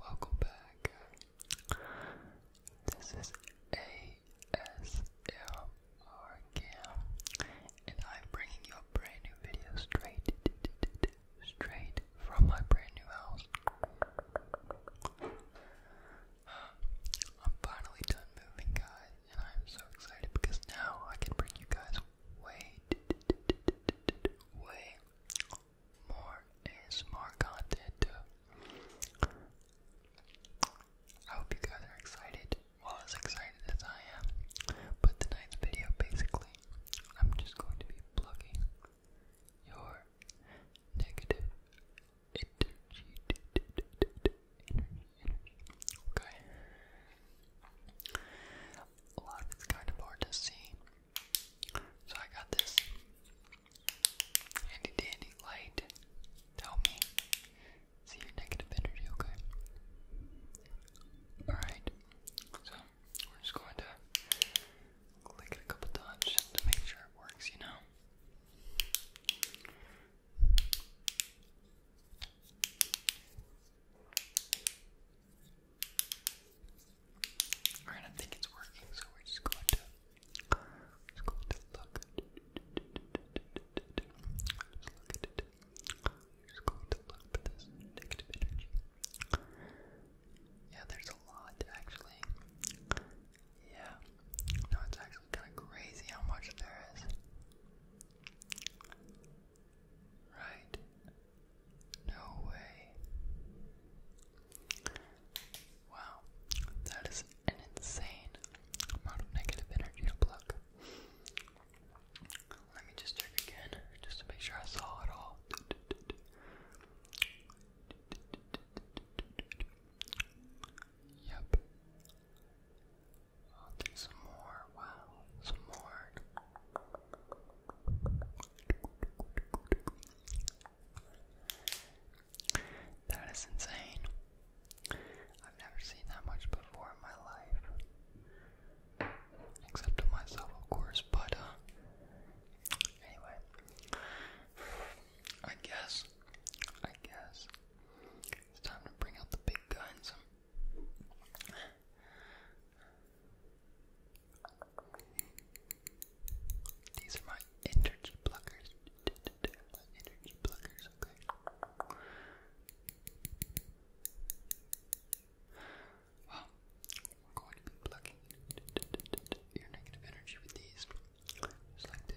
Welcome back. This is ASMR Cam, and I'm bringing you a brand new video straight, straight from my brand new house. I'm finally done moving, guys, and I'm so excited because now I can bring you guys way, way more ASMR content. I hope you guys are excited. Well, as excited as I am. But tonight's video, basically, I'm just going to be plugging your negative energy. Okay. A lot of it's kind of hard to see so I got this handy dandy light to help me see your negative energy, okay? Alright, so we're just going to click it a couple times to make sure it works, you know? Alright, I think it's working, so we're just going to, just going to look. Just look at it. just going to look for this negative energy. Yeah, there's a lot actually. Yeah. No, it's actually kinda crazy how much there is. Right. No way. Wow, that is an insane amount of negative energy to pluck. Let me just check again, just to make sure I saw it all. Yep. I'll do some more. Wow, some more. That is insane. I've never seen that much before in my life. Except to myself, of course, but uh, anyway. I guess I guess it's time to bring out the big guns. These are my energy pluckers. my we're going to be plucking your negative energy with these. Just like this.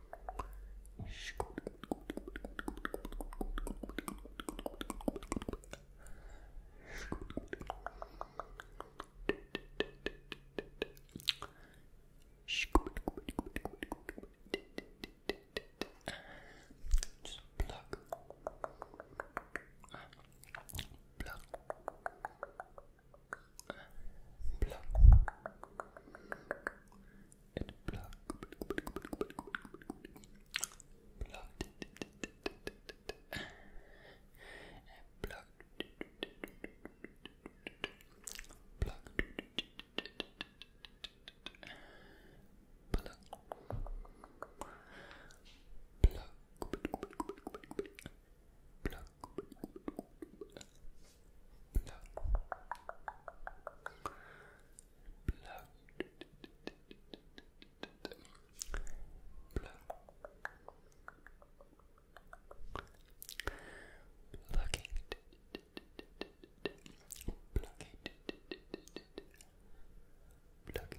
Just pluck. Pluck. Pluck. Pluck and pluck. Plucked and plucked. Plucked. Pluck. Pluck. Pluck. Pluck. Pluck. Pluck. Pluck. Pluck. Pluck it, pluck it, pluck it, pluck it, pluck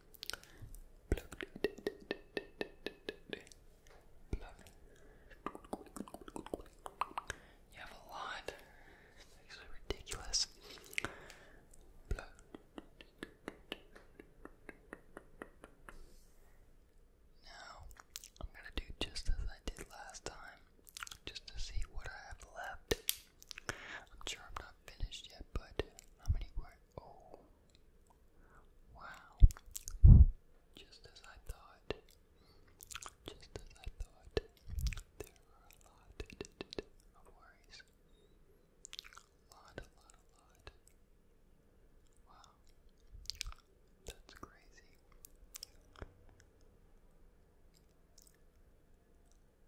You have a lot. It's actually ridiculous. Plug. Now, I'm gonna do just as I did last time, just to see what I have left. I'm sure I'm not finished yet, but how many were? Oh. Wow. Just as I thought. Just as I thought. There were a lot of worries. A lot, a lot, a lot. Wow. That's crazy.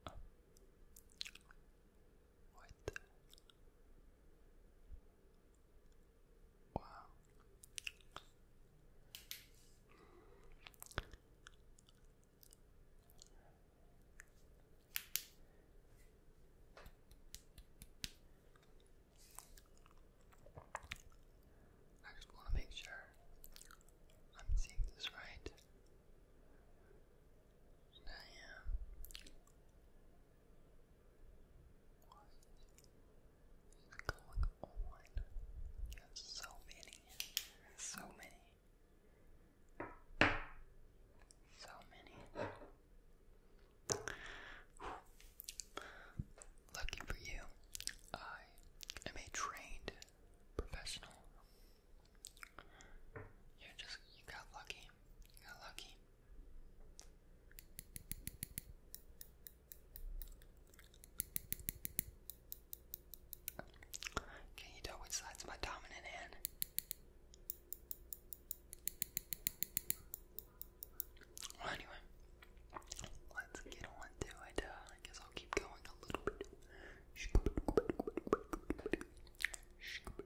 Oh. What the? Wow. I just want to make sure I'm seeing this right. And I am. What is You have so many, so many, so many. Lucky for you, I am a trained professional. You just you got lucky. got lucky. Can you tell which side's my dominant hand? Well, anyway, let's get on to it. I guess I'll keep going a little bit.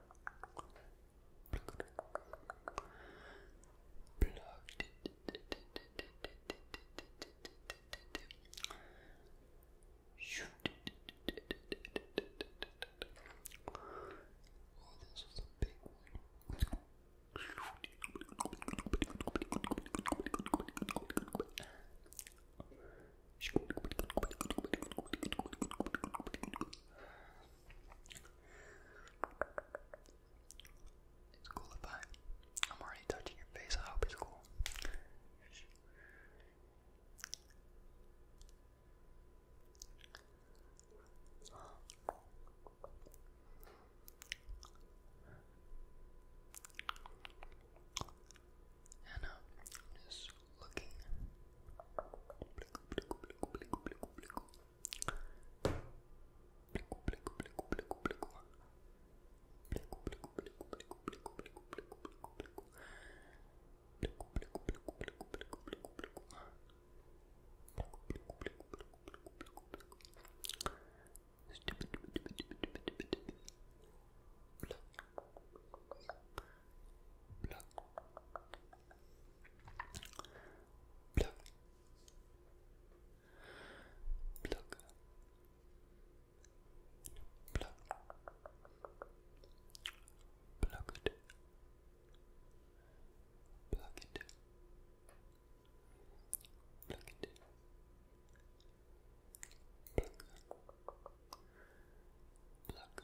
Oh, this is a big one. It's cool if I, I'm already touching your face, I hope it's cool and uh, I'm just looking bleu, bleu, bleu, bleu, plug it, plug it, plug it, plug, plug,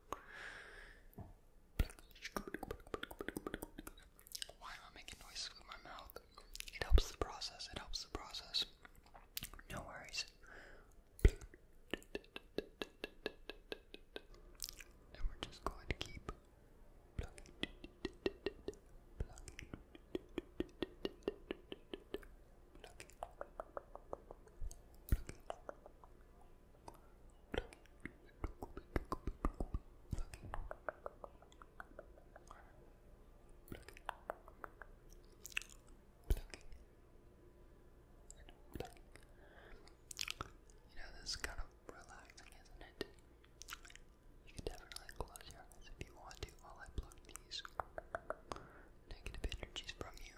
Why am I making noises with my mouth? It helps the process, it helps the process. No worries. And we're just going to keep you know, this is kind of relaxing, isn't it? You can definitely close your eyes if you want to while I pluck these negative energies from you.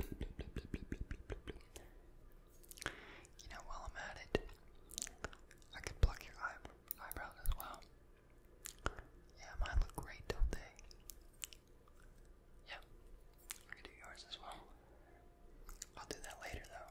You know, while I'm at it, I could pluck your eye eyebrows as well. Yeah, mine look great, don't they? Yeah, I could do yours as well. I'll do that later, though.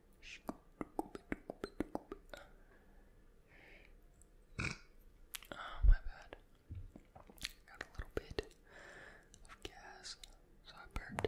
Oh, my bad. Got a little bit of gas, so I burped.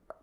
Snippet,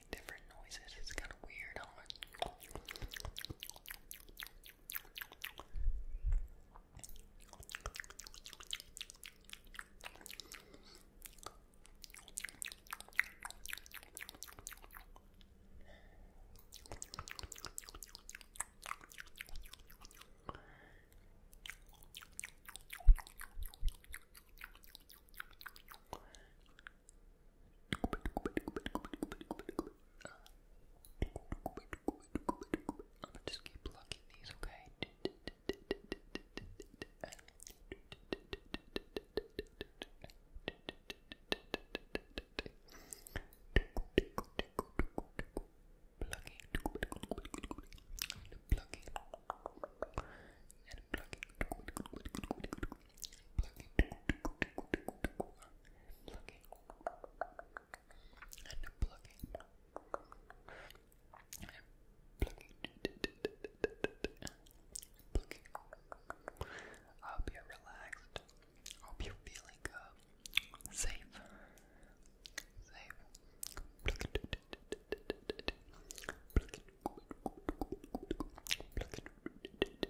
make different noises. It's kind of weird. Huh? I'm gonna just keep plucking these, okay? Plucking, and plucking, and plucking plucking, plucking, and plucking, and plucking, plucking. I hope you're relaxed. I hope you're feeling uh, safe, safe.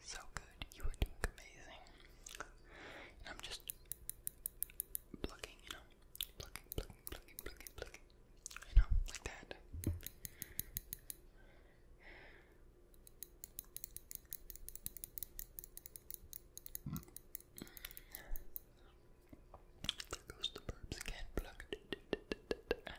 so good. You are doing amazing. And I'm just plucking, you know, plucking, plucking, plucking, plucking, plucking, you know, like that. There goes the burps again. Pluck, pluck,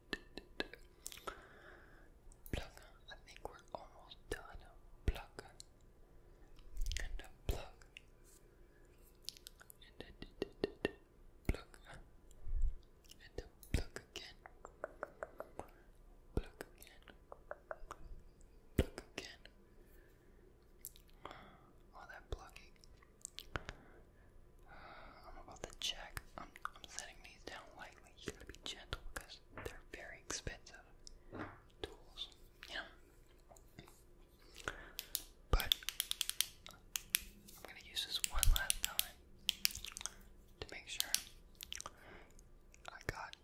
Plug. I think we're almost done. Plug. And a plug. And a plug. And a plug again. Plug again. Plug again. All oh, that plugging. I'm about to check. I'm, I'm setting these down lightly. You are going to be gentle because they're very expensive tools, you But I'm gonna use this one last time to make sure I got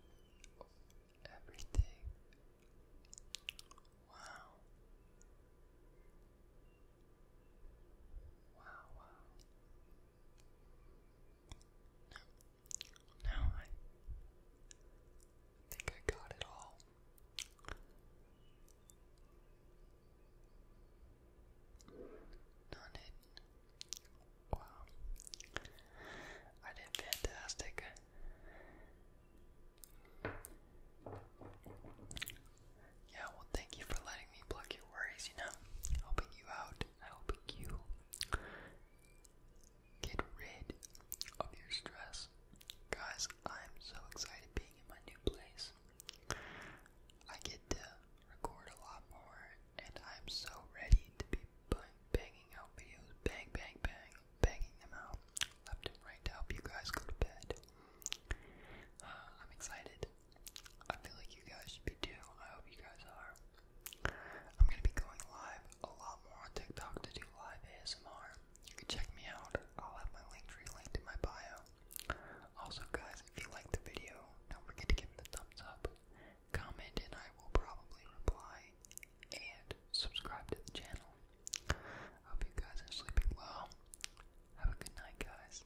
everything. Wow. Wow, wow. No. No, I think I got it all. Done it. Wow. I did fantastic. Yeah, well, thank you for letting me plug your worries, you know, helping you out, helping you get rid of your stress. Guys, I'm so excited being in my new place. I get to record a lot more, and I'm so ready to be banging out videos, bang, bang, bang, banging them out left and right to help you guys go to bed. Uh, I'm excited. I feel like you guys should be too. I hope you guys are. I'm gonna be going live a lot more on TikTok to do live ASMR. You can check me out. I'll have my link tree linked in my bio. Also, guys, if you like the video, don't forget to give it a thumbs up, comment, and I will probably reply. And subscribe to the channel. hope you guys are sleeping well. Have a good night, guys.